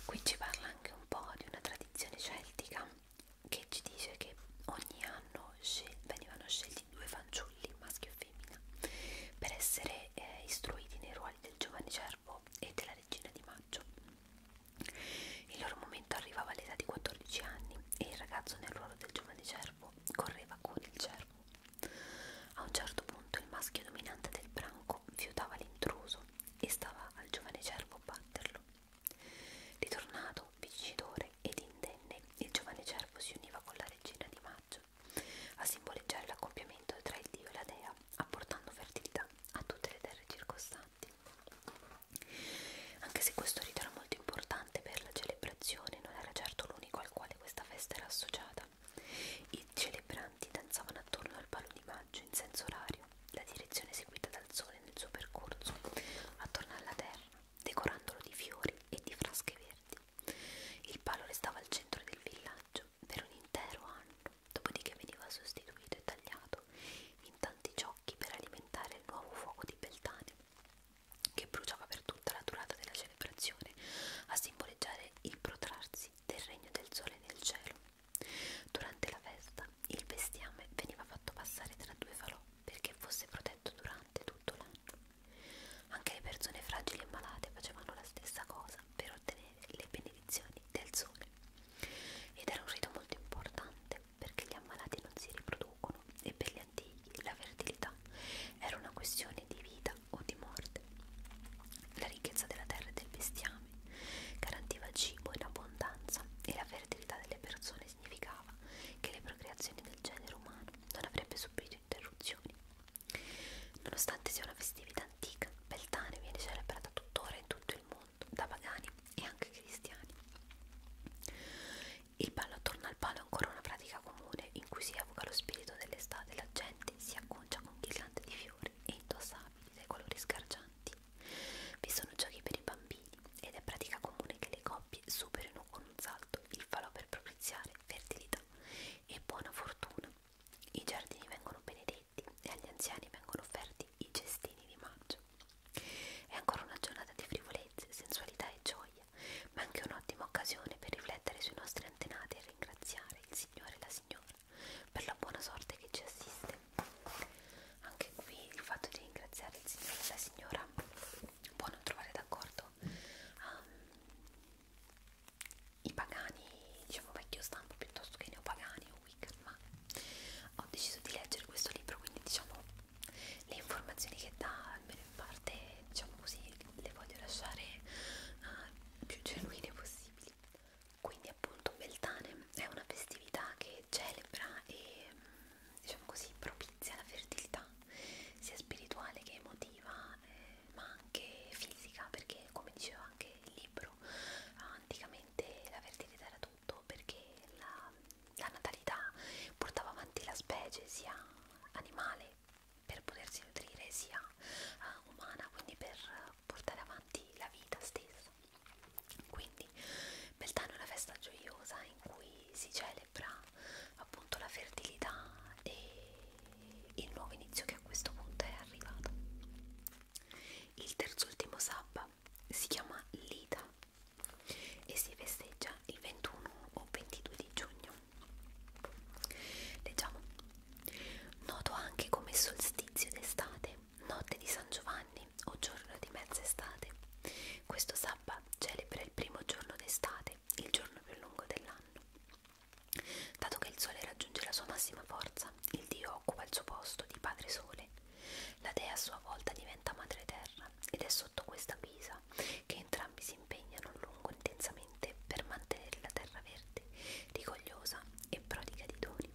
Qui ci parla anche un po' di una tradizione celtica che ci dice che ogni anno scel venivano scelti due fanciulli, maschio e femmina, per essere eh, istruiti nei ruoli del giovane cervo e della regina di maggio. Il loro momento arrivava all'età di 14 anni e il ragazzo nel ruolo del giovane cervo correva con il cervo. A un certo punto il maschio dominante del branco fiutava l'intruso e stava al giovane cervo batterlo. Ritornato, vincitore ed indenne, il giovane cervo si univa con la regina di maggio a simboleggiare l'accoppiamento tra il dio e la dea, apportando fertilità a tutte le terre circostanti. Anche se questo rito era molto importante per la celebrazione, non era certo l'unico al quale questa festa era associata. I celebranti danzavano attorno al palo di maggio in senso orario, la direzione seguita dal sole nel suo percorso, attorno alla terra, decorandolo di fiori e di frasche verdi. Il palo restava al centro del villaggio per un intero anno, dopodiché veniva sostituito e tagliato in tanti ciò occhi per alimentare il nuovo fuoco di Beltane, che bruciava per tutta la durata della celebrazione a simboleggiare il protrarsi del regno del sole nel cielo. Durante la festa il bestiame veniva fatto passare tra due falò perché fosse protetto durante tutto l'anno. Anche le persone fragili e malate facevano la stessa cosa per ottenere le benedizioni del sole. Ed era un rito molto importante perché gli ammalati non si riproducono e per gli antichi la fertilità era una questione di vita o di morte. La ricchezza della terra e del bestiame garantiva cibo in abbondanza e la fertilità delle persone significava che le procreazioni del genere umano non avrebbe subito interruzioni. Nonostante sia una festività antica, Beltane viene celebrata tuttora in tutto il mondo racconto da pagani e anche cristiani. Il ballo attorno al palo è ancora una pratica comune in cui si evoca lo spirito dell'estate, la gente si acconcia con ghirlande di fiori e indossabili dai colori scargianti. Vi sono giochi per i bambini ed è pratica comune che le coppie superino con un salto il falò per propiziare fertilità e buona fortuna. I giardini vengono benedetti e agli anziani vengono offerti decorati i cestini di maggio. È ancora una giornata di frivolezze, sensualità e gioia, ma anche un'ottima occasione per riflettere sui nostri antenati e ringraziare il Signore e la Signora per la buona sorte che ci assiste. Anche qui il fatto di ringraziare il Signore e la Signora può non trovare d'accordo um, i pagani, diciamo vecchio stampo piuttosto che i neopagani o Wiccan, ma ho deciso di leggere questo libro, quindi diciamo le informazioni che dà, almeno in parte, diciamo così, le voglio lasciare uh, più genuine possibili. Quindi appunto Beltane è una festività che celebra e mm, diciamo così propizia la fertilità sia spirituale che emotiva eh, ma anche fisica perché come diceva anche il libro anticamente la fertilità era tanto perché la, la natalità portava avanti la specie sia animale per potersi nutrire sia uh, umana, quindi per portare avanti la vita stessa. Quindi Beltane è una festa gioiosa in cui si celebra appunto la fertilità e il nuovo inizio che a questo punto è arrivato. Il terzo ultimo sabba si chiama Lita e si festeggia il 21 o 22 di giugno. Leggiamo. Noto anche come solstizio d'estate, notte di San Giovanni o giorno di mezz'estate. Questo sabato celebra il primo giorno d'estate, il giorno più lungo dell'anno. Dato che il sole raggiunge la sua massima forza, il Dio occupa il suo posto di Padre Sole la dea a sua volta diventa madre terra ed è sotto questa guisa che entrambi si impegnano a lungo intensamente per mantenere la terra verde, rigogliosa e prodiga di doni.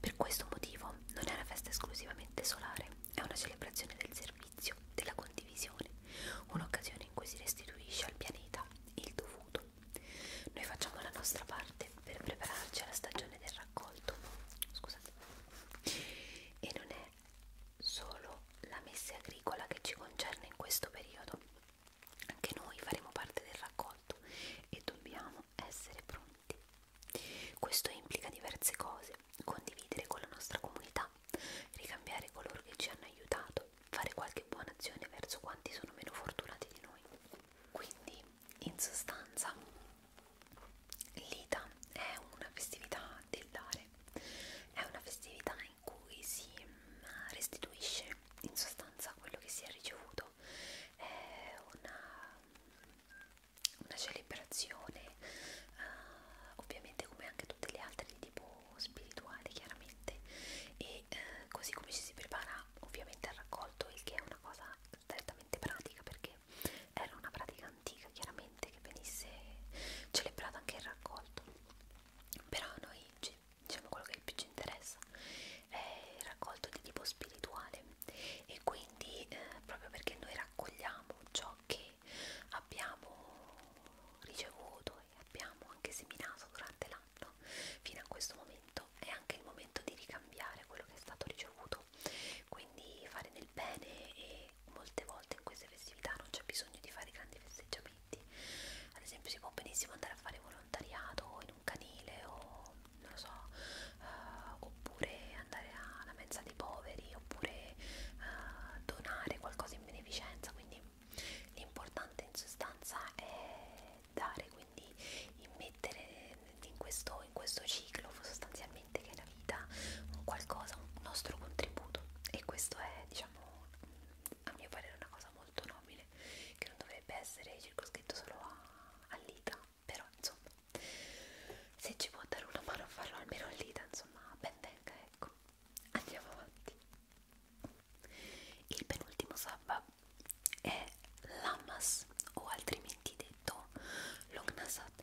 Per questo motivo non è una festa esclusivamente solare, è una celebrazione del servizio, della condivisione, un'occasione in cui si restituisce al pianeta il dovuto. Noi facciamo la nostra parte per prepararci alla stagione del raccolto scusate e non è solo la messa agricola che ci concerne in questo periodo anche noi faremo parte del raccolto e dobbiamo essere pronti questo implica diverse cose condividere con la nostra comunità ricambiare coloro che ci hanno aiutato fare qualche buona azione verso quanti sono meno fortunati di noi quindi in sostanza L'Ita è una festività del dare, è una festività in cui si mm, restituisce in sostanza quello che si è ricevuto, è una, una celebrazione uh, ovviamente come anche tutte le altre di tipo spirituale chiaramente e uh, così come ci si prepara ovviamente al raccolto, il che è una cosa strettamente pratica perché era una pratica antica chiaramente che venisse celebrata anche il raccolto però a noi diciamo quello che più ci interessa è il raccolto di tipo spirituale e quindi eh, proprio perché noi raccogliamo ciò che abbiamo ricevuto e abbiamo anche seminato durante l'anno fino a questo momento è anche il momento di ricambiare quello che è stato ricevuto no? Quindi fare del bene e molte volte in queste festività non c'è bisogno di fare grandi festeggiamenti. Ad esempio si può benissimo andare a fare volontariato in un canile o non lo so, eh, oppure andare alla mensa dei poveri, oppure eh, donare qualcosa in beneficenza, quindi l'importante in sostanza è dare, quindi immettere in questo, in questo ciclo sostanzialmente che è la vita un qualcosa, un nostro contributo e questo è diciamo a mio parere una cosa molto nobile che non dovrebbe essere circoscritto solo all'ita però insomma se ci può dare una mano a farlo almeno all'ita insomma ben venga ecco andiamo avanti il penultimo sabba è l'ammas o altrimenti detto detto Longnasat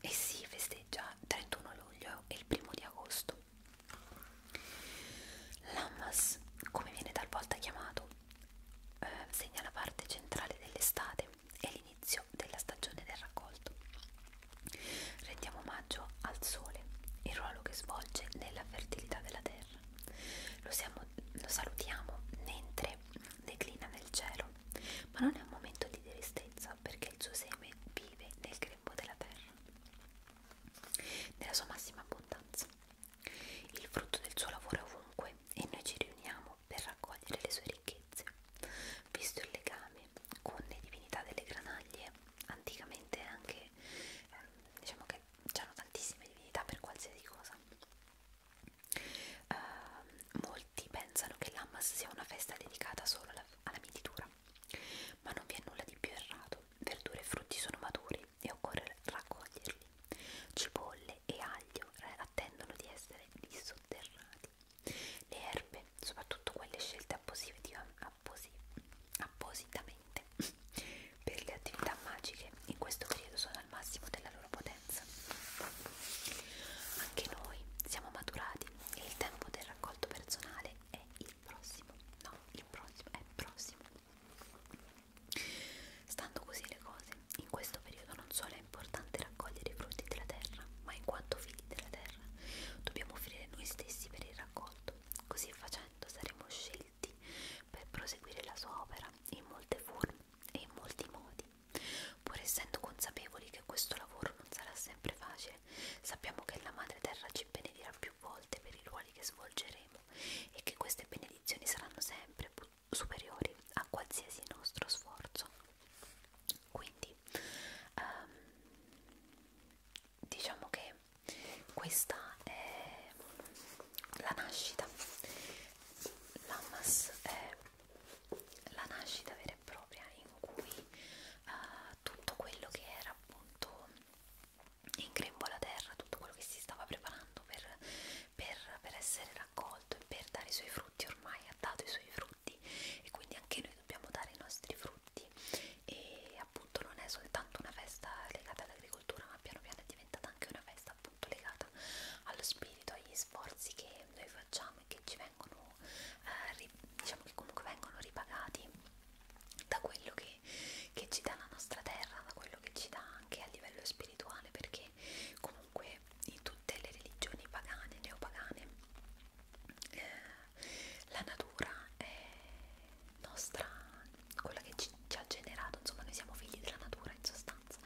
e si festeggia 31 luglio e il primo di agosto. Lammas, come viene talvolta chiamato, eh, segna la parte centrale dell'estate e l'inizio della stagione del raccolto. Rendiamo omaggio al sole, il ruolo che svolge nella fertilità della terra. Lo, siamo, lo salutiamo mentre declina nel cielo ma non è un momento di tristezza perché il suo seme vive nel grembo della terra, nella sua massima abbondanza. Il frutto del suo lavoro è ovunque e noi ci riuniamo per raccogliere le sue ricchezze. Visto il legame con le divinità delle granaglie, anticamente anche, eh, diciamo che c'erano tantissime divinità per qualsiasi cosa. Uh, molti pensano che l'Ammas sia una festa dedicata solo alla, alla mietitura, ma non vi è nulla di più errato. Verdure e frutti sono maturi e occorre raccoglierli. Cipolle e aglio attendono di essere dissotterrati. Le erbe, soprattutto quelle scelte apposi, appositamente <laughs> per le attività magiche, in questo periodo sono al massimo della loro potenza differenza. Anche noi siamo maturati e il tempo del raccolto personale è il prossimo. No, il prossimo è prossimo. Stando così le cose, in questo periodo non solo è importante raccogliere i frutti della terra, ma in quanto figli della terra dobbiamo offrire noi stessi per il raccolto. Così facendo saremo scelti per proseguire la sua opera in molte forme e in molti modi Pur essendo consapevoli che questo lavoro non sarà sempre facile, sappiamo che la Madre Terra ci benedirà più volte per i ruoli che svolgeremo e che queste benedizioni saranno sempre superiori a qualsiasi nostro sforzo. Quindi, um, diciamo che questa è la nascita. Lamas è la nascita vera e propria in cui uh, tutto quello che era appunto in grembo alla terra, tutto quello che si stava preparando per, per, per essere raccolto e per dare i suoi frutti ormai ha dato i suoi frutti e quindi anche noi dobbiamo dare i nostri frutti e appunto non è soltanto una festa legata all'agricoltura ma piano piano è diventata anche una festa sta appunto legata allo spirito, agli sforzi che noi facciamo e che ci vengono, eh, diciamo che comunque vengono ripagati da quello che, che ci dà la nostra terra, da quello che ci dà anche a livello spirituale, perché comunque in tutte le religioni pagane, neopagane, eh, la natura è nostra, quella che ci, ci ha generato, insomma noi siamo figli della natura in sostanza.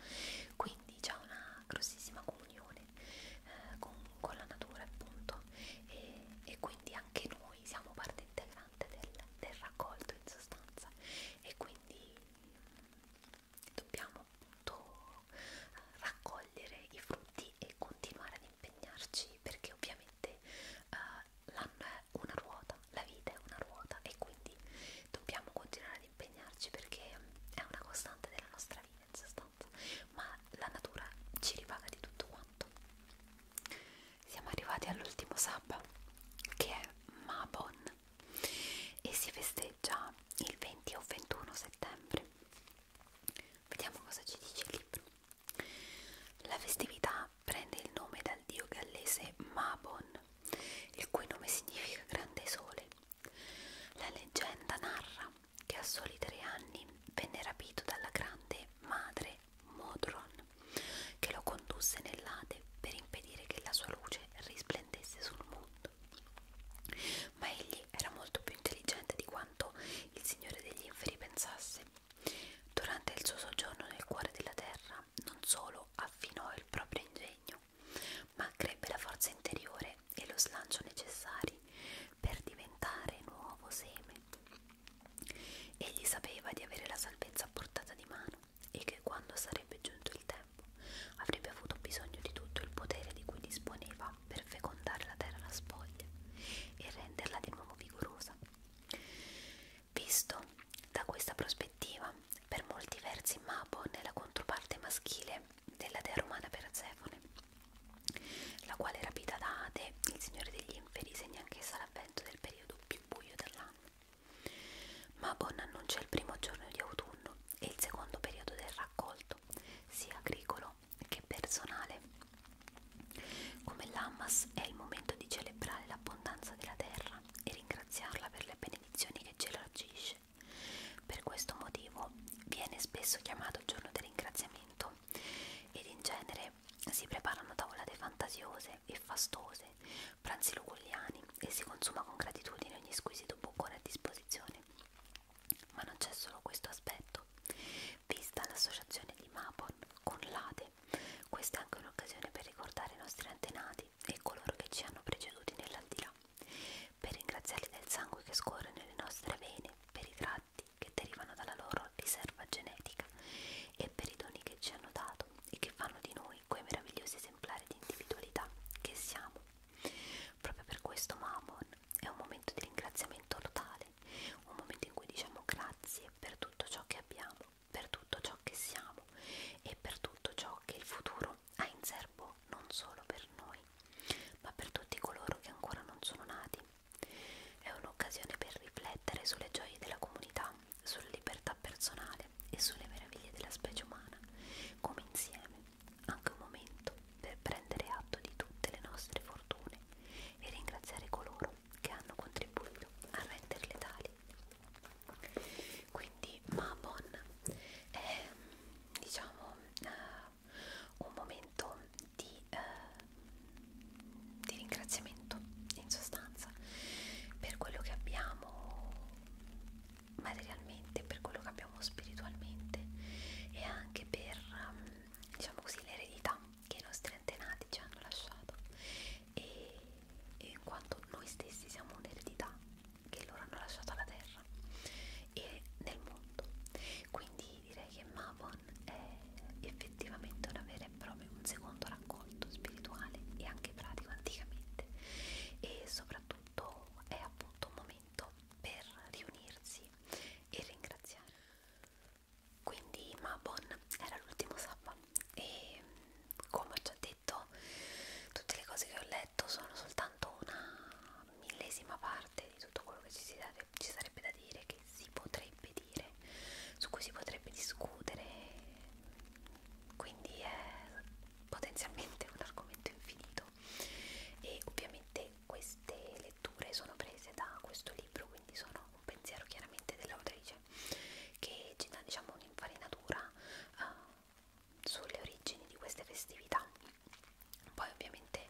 Quindi quindi c'è una grossissima comunione eh, con, con la natura appunto e, e quindi anche noi siamo parte integrante del, del raccolto in sostanza e quindi dobbiamo appunto raccogliere i frutti e continuare ad impegnarci perché ovviamente eh, l'anno è una ruota, la vita è una ruota e quindi dobbiamo continuare ad impegnarci perché è una costante della nostra vita in sostanza, ma la natura ci ripaga di tutto quanto. Siamo arrivati all'ultimo sabba che è Mabon e si festeggia il 20 o 21 settembre. Vediamo cosa ci dice il libro. La festività prende il nome dal dio gallese Mabon, il cui nome significa grande sole la leggenda narra che a soli tre anni venne rapito dalla grande madre Modron, che lo condusse nell'Ade per impedire che la sua luce risplendesse sul mondo. Ma egli era molto più intelligente di quanto il Signore degli Inferi pensasse. Durante il suo soggiorno nel cuore della terra, non solo affinò il proprio ingegno, ma crebbe la forza interiore e lo slancio necessari per diventare nuovo seme. Egli sapeva di avere la salvezza a portata di mano e che quando sarebbe giunto il tempo avrebbe avuto bisogno di tutto il potere di cui disponeva per fecondare la terra alla spoglia e renderla di nuovo vigorosa. Visto da questa prospettiva, per molti versi Mabon è la controparte maschile della dea romana Persefone, la quale rapita da Ate, il signore degli inferi, segna anch'essa l'avvento del periodo più buio dell'anno. Ma Bon annuncia il primo giorno di autunno e il secondo periodo del raccolto, sia agricolo che personale. Come l'Ammas è il momento di celebrare l'abbondanza della terra e ringraziarla per le benedizioni che ce la agisce per questo motivo viene spesso chiamato giorno del ringraziamento ed in genere si preparano tavolate fantasiose e fastose, pranzi luculliani e si consuma con gratitudine ogni squisito boccone a disposizione. Ma non c'è solo questo aspetto. Vista l'associazione di Mapon con l'Ade, questa è anche un'occasione per ricordare i nostri antenati e coloro che ci hanno preceduti nell'aldilà per ringraziarli del sangue che scorre nelle nostre vene, per i tratti che derivano dalla loro riserva genetica e per i doni che ci hanno dato e che fanno di noi quei meravigliosi esemplari di individualità che siamo. Proprio per questo Mamon è un momento di ringraziamento totale, un momento in cui diciamo grazie per tutto ciò che abbiamo, per tutto ciò che siamo e per tutto ciò che il futuro libro ha in serbo non solo per noi, ma per tutti coloro che ancora non sono nati. È un'occasione per riflettere sulle gioie della comunità, sulla libertà personale e sulle meraviglie della specie umana, come insieme, anche un momento per prendere atto di tutte le nostre fortune e ringraziare coloro che hanno contribuito a renderle tali. Quindi Mabon è diciamo uh, un momento di, uh, di ringraziamento in sostanza per quello che abbiamo materialmente, per quello che abbiamo spiritualmente e anche per um, diciamo così l'eredità che i nostri antenati ci hanno lasciato e, e in quanto noi stessi siamo un'eredità che loro hanno lasciato alla terra e nel mondo quindi direi che Mavon è effettivamente una vera e propria un secondo raccolto spirituale e anche pratico anticamente e soprattutto è appunto un momento per riunirsi e ringraziare quindi Mabon era l'ultimo sabba e come ho già detto tutte le cose che ho letto sono soltanto una millesima parte di tutto quello che ci, si dare, ci sarebbe da dire, che si potrebbe dire, su cui si potrebbe discutere, quindi è potenzialmente un argomento infinito e ovviamente queste letture sono prese da questo libro, quindi sono un pensiero chiaramente dell'autrice che ci dà diciamo un'infarinatura uh, sulle origini di queste festività. Poi ovviamente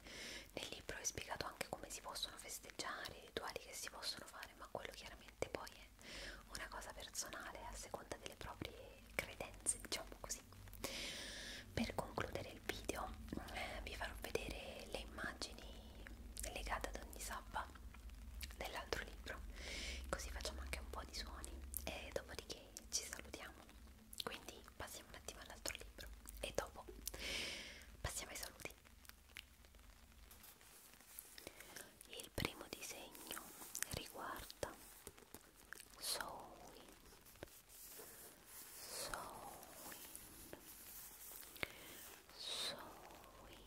nel libro è spiegato anche come si possono festeggiare, i rituali che si possono fare, ma quello chiaramente poi è una cosa personale a seconda delle proprie credenze, diciamo così. Per concludere il video eh, vi farò vedere le immagini legate ad ogni sabba dell'altro libro, così facciamo anche un po' di suoni e dopodiché ci salutiamo quindi passiamo un attimo all'altro libro e dopo passiamo ai saluti il primo disegno riguarda Sowin Sowin Sowin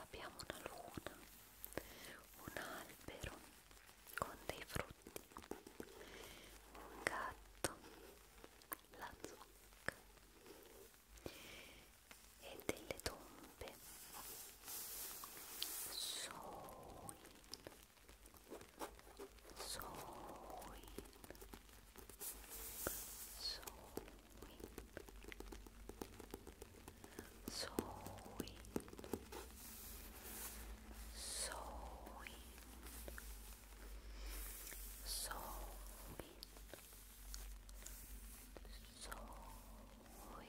abbiamo una luna un albero con dei frutti gatto, la zucca e delle tombe soin soin soin So sewing, sewing, sewing. Sewing, sewing,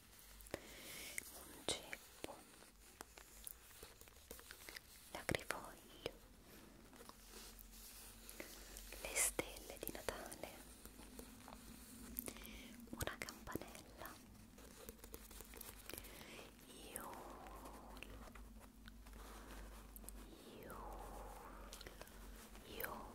un ceppo, l'agrifoglio, le stelle di Natale, una campanella, Iul, Iul, Iul,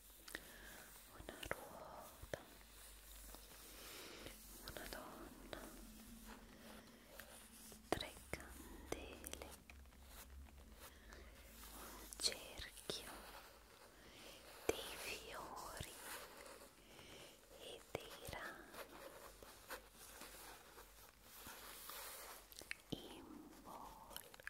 una ruota, una donna, tre candele, un cerchio, dei fiori e dei rami. Involta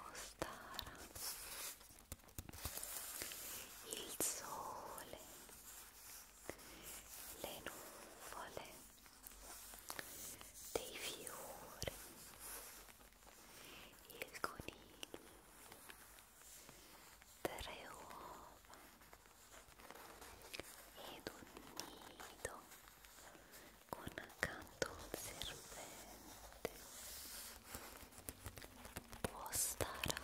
Ostara il sole le nuvole dei fiori il coniglio tre uova ed un nido con un serpente postara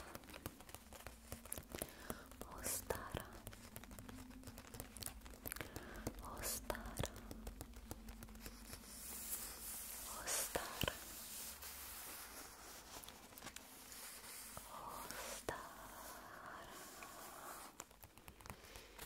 Ostara,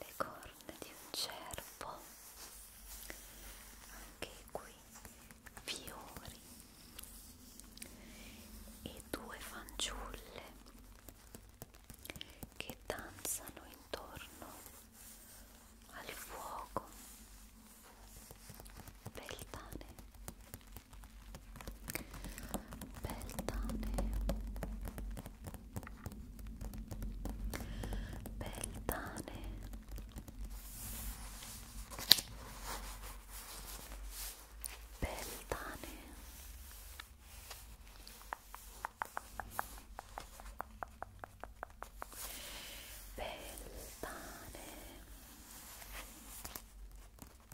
le corna di un cervo anche qui fiori e due fanciulle che danzano intorno al fuoco Beltane Beltane Peltane Peltane Peltane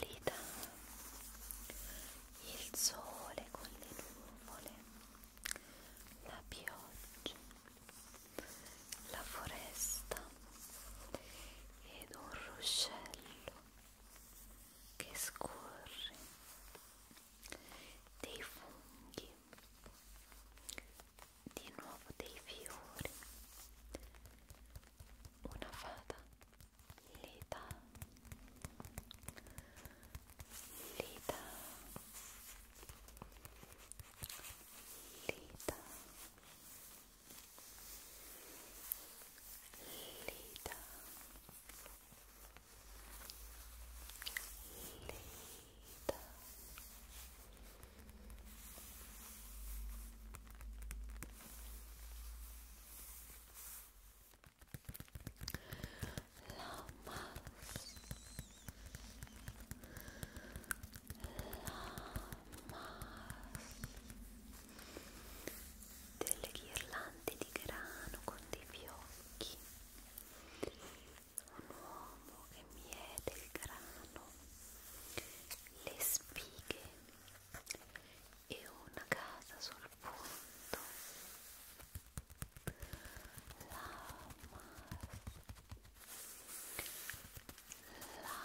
lì dà il sole con le nuvole, la pioggia, la foresta ed un ruscello che scorre dei funghi di nuovo dei fiori una fata lita lita lita lita Lita, la mouse La mouse delle ghirlande di grano con dei fiocchi un uomo che miete il grano le spighe e una casa sul punto Lamas Lamas Lamas Lamas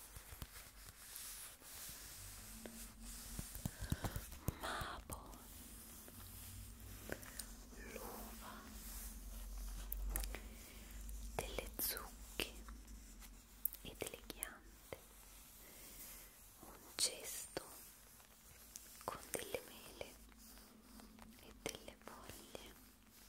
Mabo l'uva delle zucche e delle ghiande un cesto con delle mele e delle foglie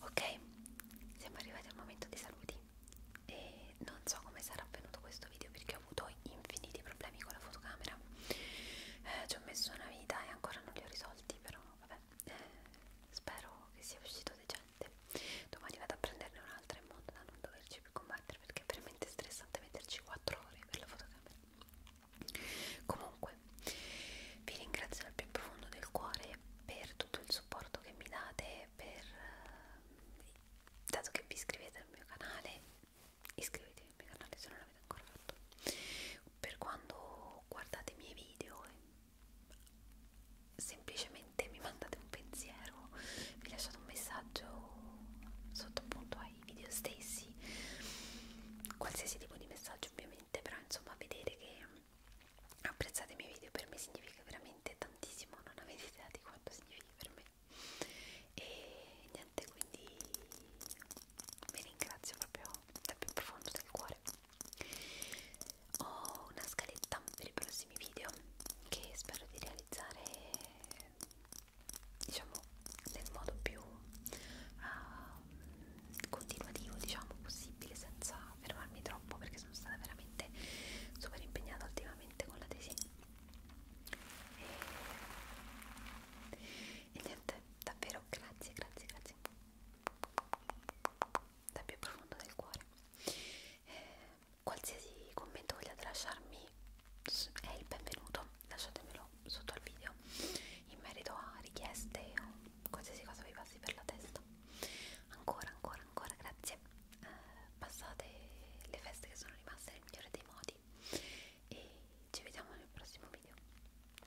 Ok, siamo arrivati al momento dei saluti e non so come sarà avvenuto questo video perché ho avuto infiniti problemi con la fotocamera, eh, ci ho messo una vita e ancora non li ho risolti, però vabbè, vabbè, spero che sia uscito decente. Domani vado a prenderne un'altra in modo da non doverci più combattere perché è veramente stressante metterci 4 ore per la fotocamera. Comunque, vi ringrazio dal più profondo del cuore per tutto il supporto che mi date, per, eh, dato che vi iscrivete al mio canale, iscrivetevi al mio canale se non l'avete l'avete ancora fatto per quando guardate i miei video semplicemente mi mandate un pensiero mi lasciate un messaggio sotto appunto ai video stessi qualsiasi tipo di messaggio ovviamente però insomma vedete che apprezzate i miei video per me significa veramente tantissimo non avete idea di quanto significa per me e niente quindi vi ringrazio proprio dal più profondo del cuore ho una scaletta per i prossimi video che spero di realizzare diciamo nel modo più uh, continuativo diciamo possibile senza fermarmi troppo perché sono stata veramente super impegnata ultimamente con la tesi e, e niente davvero grazie grazie grazie dal più profondo del cuore eh, qualsiasi commento vogliate lasciarmi è il benvenuto lasciatemelo sotto al video in merito a richieste o qualsiasi cosa vi passi per la testa ancora ancora ancora grazie eh, passate le feste che sono rimaste nel migliore dei modi e ci vediamo nel prossimo video